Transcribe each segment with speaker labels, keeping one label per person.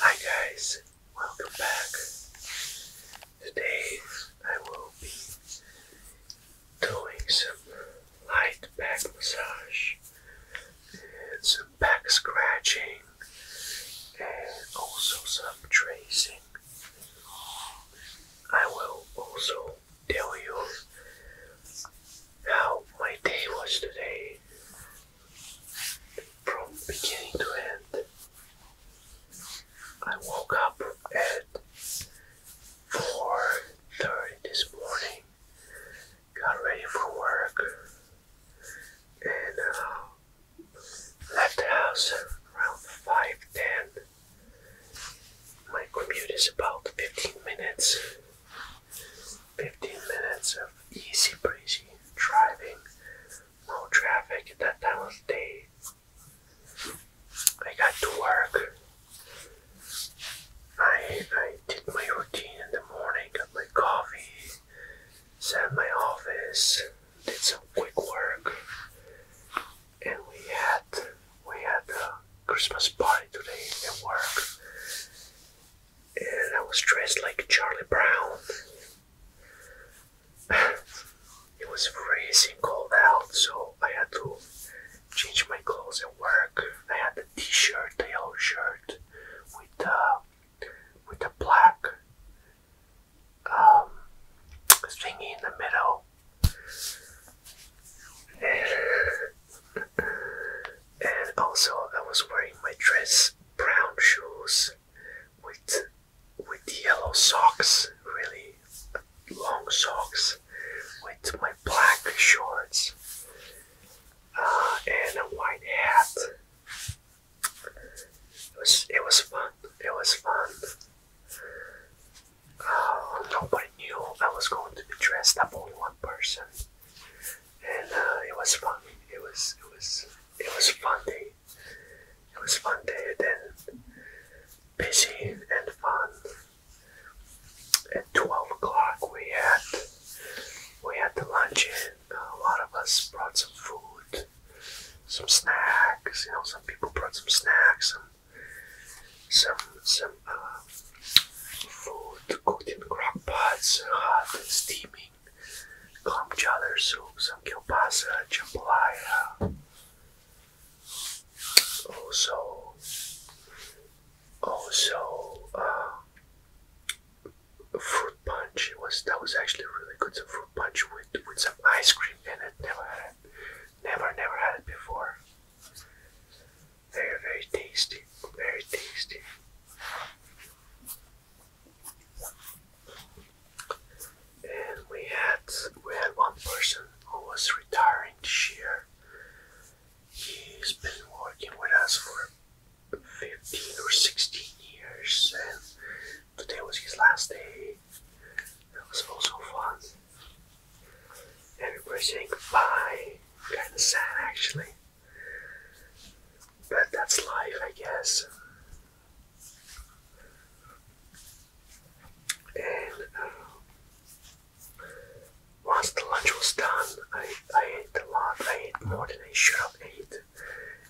Speaker 1: Hi guys, welcome back. Today I will be doing some light back massage some back scratching and also some tracing. I will also tell you how my day was today from beginning to end. I woke up at 4.30 this morning, got ready for work, and uh, left the house around 5.10. My commute is about 15 minutes. 15 minutes of easy breezy driving, no traffic at that time of day. I got to work. I, I did my routine in the morning, got my coffee, sat in my office, did some quick work, and we had we had a Christmas party today at work and I was dressed like Charlie Brown. it was freezing cold out, so I had to change my clothes at work. I had a t-shirt, a yellow shirt with uh, with a black um, thingy in the middle. and also I was wearing my dress, brown shoes with with yellow socks, really long socks, with my black shorts uh, and a white hat. It was it was fun. It was fun. Uh, nobody knew I was going to be dressed up. Only one person and uh, it was fun. It was it was it was fun day. It was fun day. And then busy and fun. At twelve o'clock, we had we had the luncheon. A lot of us brought some food, some snacks. You know, some people brought some snacks, and some some uh, Food cooked in crock pots, hot and steaming, clam chowder soup, some kielbasa, jambalaya. Also, also, uh, fruit punch was that was actually really good. Some fruit punch with with some ice cream in it. Never had it. Never, never had it before. Very, very tasty. Very tasty. And we had we had one person who was retiring this year. He's been working with us for 15 or 16 years, and today was his last day. That was also fun. Everybody saying goodbye. Kind of sad, actually. But that's life, I guess. And uh, once the lunch was done, I, I ate a lot. I ate more than I should have ate. It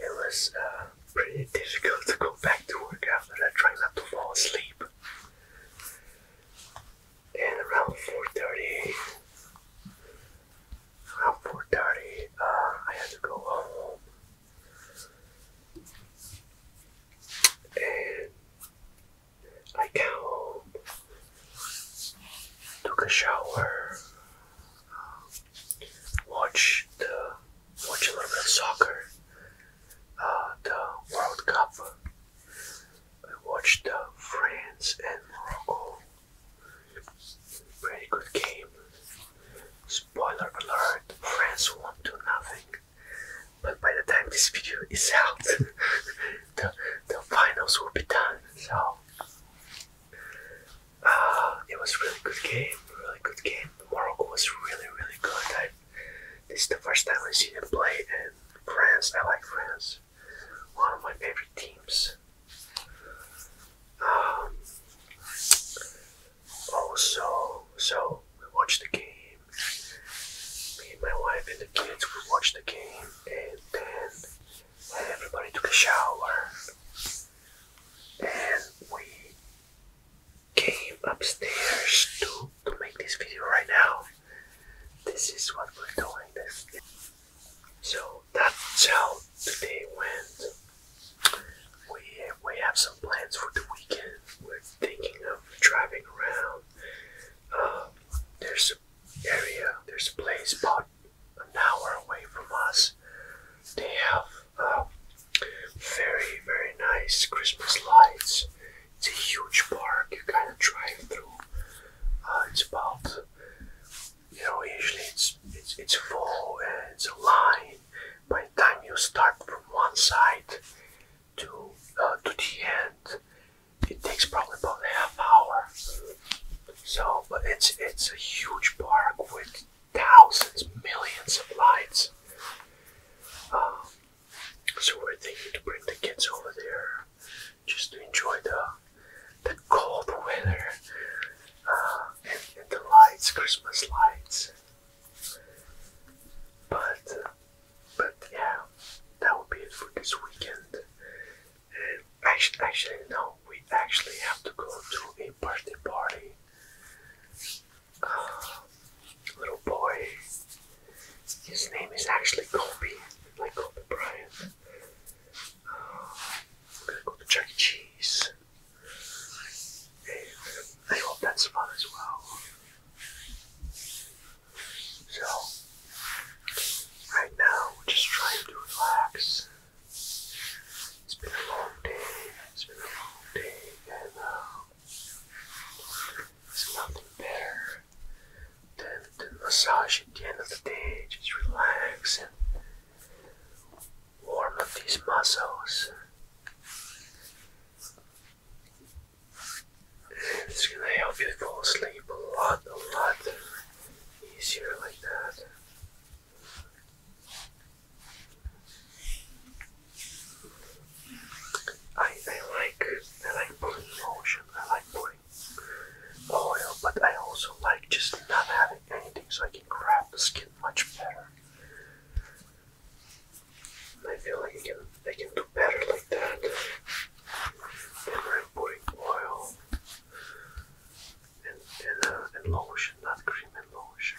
Speaker 1: was uh, pretty difficult to go back to work after that, trying not to fall asleep. And around 4.30, around 4.30 uh, I had to go home and I came home, took a shower, uh, watched the watch a little bit of soccer, uh, the World Cup. I watched the uh, France and Morocco Pretty good game. Spoiler alert, France won to nothing. But by the time this video is out, the, the finals will be done. So, uh, it was really good game, really good game. Morocco was really, really good. this is the first time I've seen him play, and France, I like France one of my favorite teams. Um, also, oh, so we watched the game. Me and my wife and the kids we watched the game, and then everybody took a shower, and we came upstairs to to make this video right now. This is what we're doing. This. So that's how today went. We we have some plans for the weekend. We're thinking of driving around. Uh, there's an area, there's a place about an hour away from us. They have uh, very very nice Christmas lights. It's a huge park. You kind of drive through. Uh, it's about you know usually it's it's it's full it's a line by the time you start from one side to uh, to the end it takes probably about half hour so but it's it's a huge park with thousands millions of lights um, so we're thinking to bring the kids over there just to enjoy the the cold weather uh, and, the lights, Christmas lights. But but yeah, that will be it for this weekend. actually, actually no, we actually have to go to a birthday party. Uh, little boy. His name is actually Kobe, like Kobe Bryant. I'm gonna go to Chuck E. Cheese. And I hope that's fun as well. So, right now we're just trying to relax. It's been a long day. It's been a long day, and there's nothing better then the massage at the end of the day, just relax and warm up these muscles. And it's gonna help you fall asleep a lot, a lot easier like that. I, I like I like putting motion. I like putting oil, oh, but I also like just not having anything so I can grab the skin much better. I feel like I can, I can do better like that than when putting oil and, and, uh, and lotion, not cream and lotion.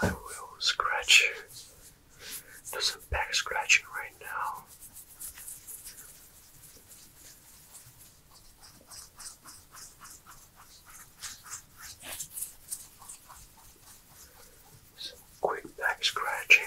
Speaker 1: I will scratch you. Do some back scratching right now. Some quick back scratching.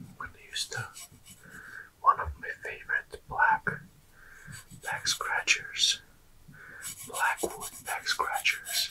Speaker 1: I'm gonna use the one of my favorite black back scratchers, blackwood back scratchers.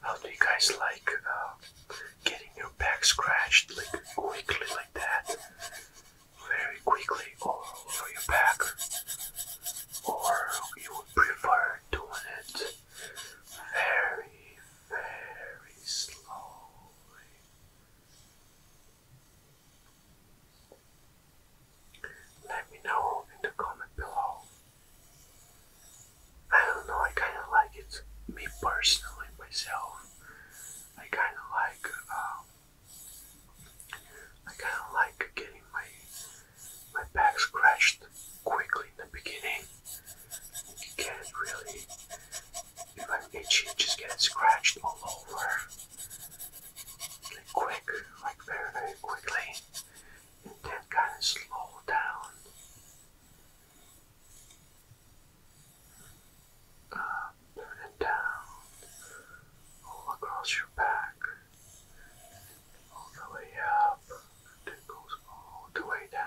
Speaker 1: How do you guys like uh, getting your back scratched like quickly like that? Very quickly all over your back or you would prefer doing it very, very slowly. Let me know in the comment below. I don't know, I kind of like it. Me personally, myself, I kind of like, um, I kind of like getting my my back scratched quickly in the beginning. You get really, if i itchy, just get scratched all over. Like quick, like very, very quickly. And then kind of slow down. Up and down, all across your back all the way up it goes all the way down.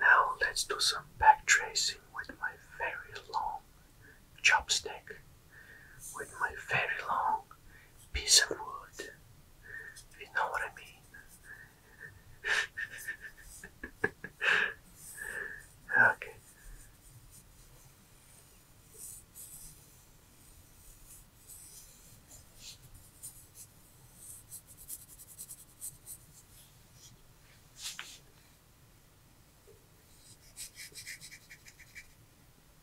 Speaker 1: Now let's do some back tracing with my very long chopstick, with my very long piece of wood. If you know what I mean. okay.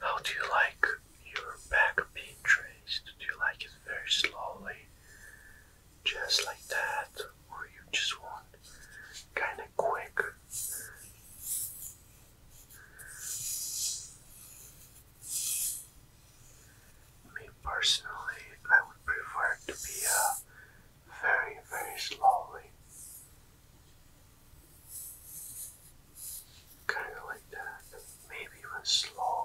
Speaker 1: How do you like your back being traced? Do you like it very slowly, just like that, or you just want kind of quick me personally, I would prefer it to be uh, very, very slowly. Kind of like that, maybe even slower.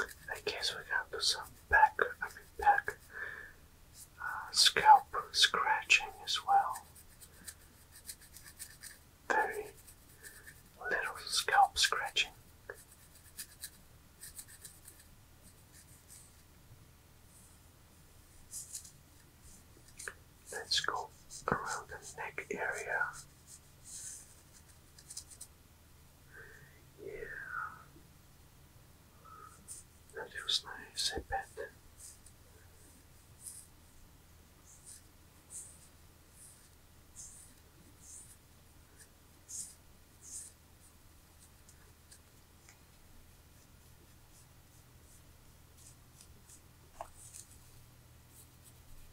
Speaker 1: I guess we're gonna do some back, I mean back, uh, scalp scratching as well. Very little scalp scratching. Let's go around the neck area. Yeah. That feels nice, I bet.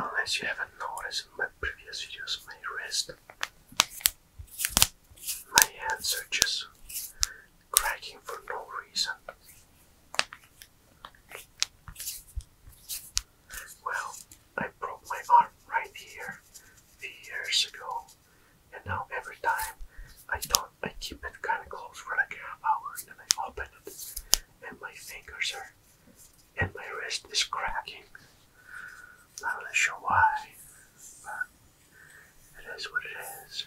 Speaker 1: Unless you haven't noticed in my previous videos, my wrist, my hands are just cracking for no reason. Well, I broke my arm right here few years ago, and now every time I don't, I keep it kind of close for like a half hour, and then I open it, and my fingers are, and my wrist is cracking. Not really sure why, but it is what it is.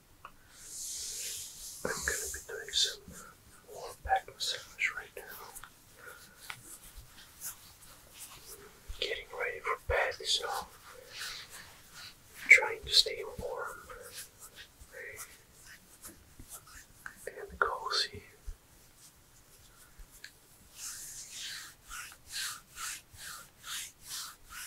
Speaker 1: I'm gonna be doing some warm back massage right now. Getting ready for bed, so trying to stay warm and cozy.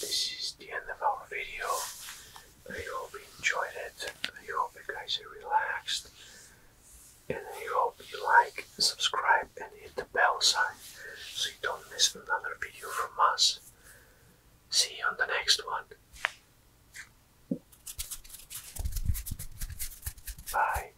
Speaker 1: This is the end of our video. I hope you enjoyed it. I hope you guys are relaxed. And I hope you like, subscribe, and hit the bell sign so you don't miss another video from us. See you on the next one. Bye.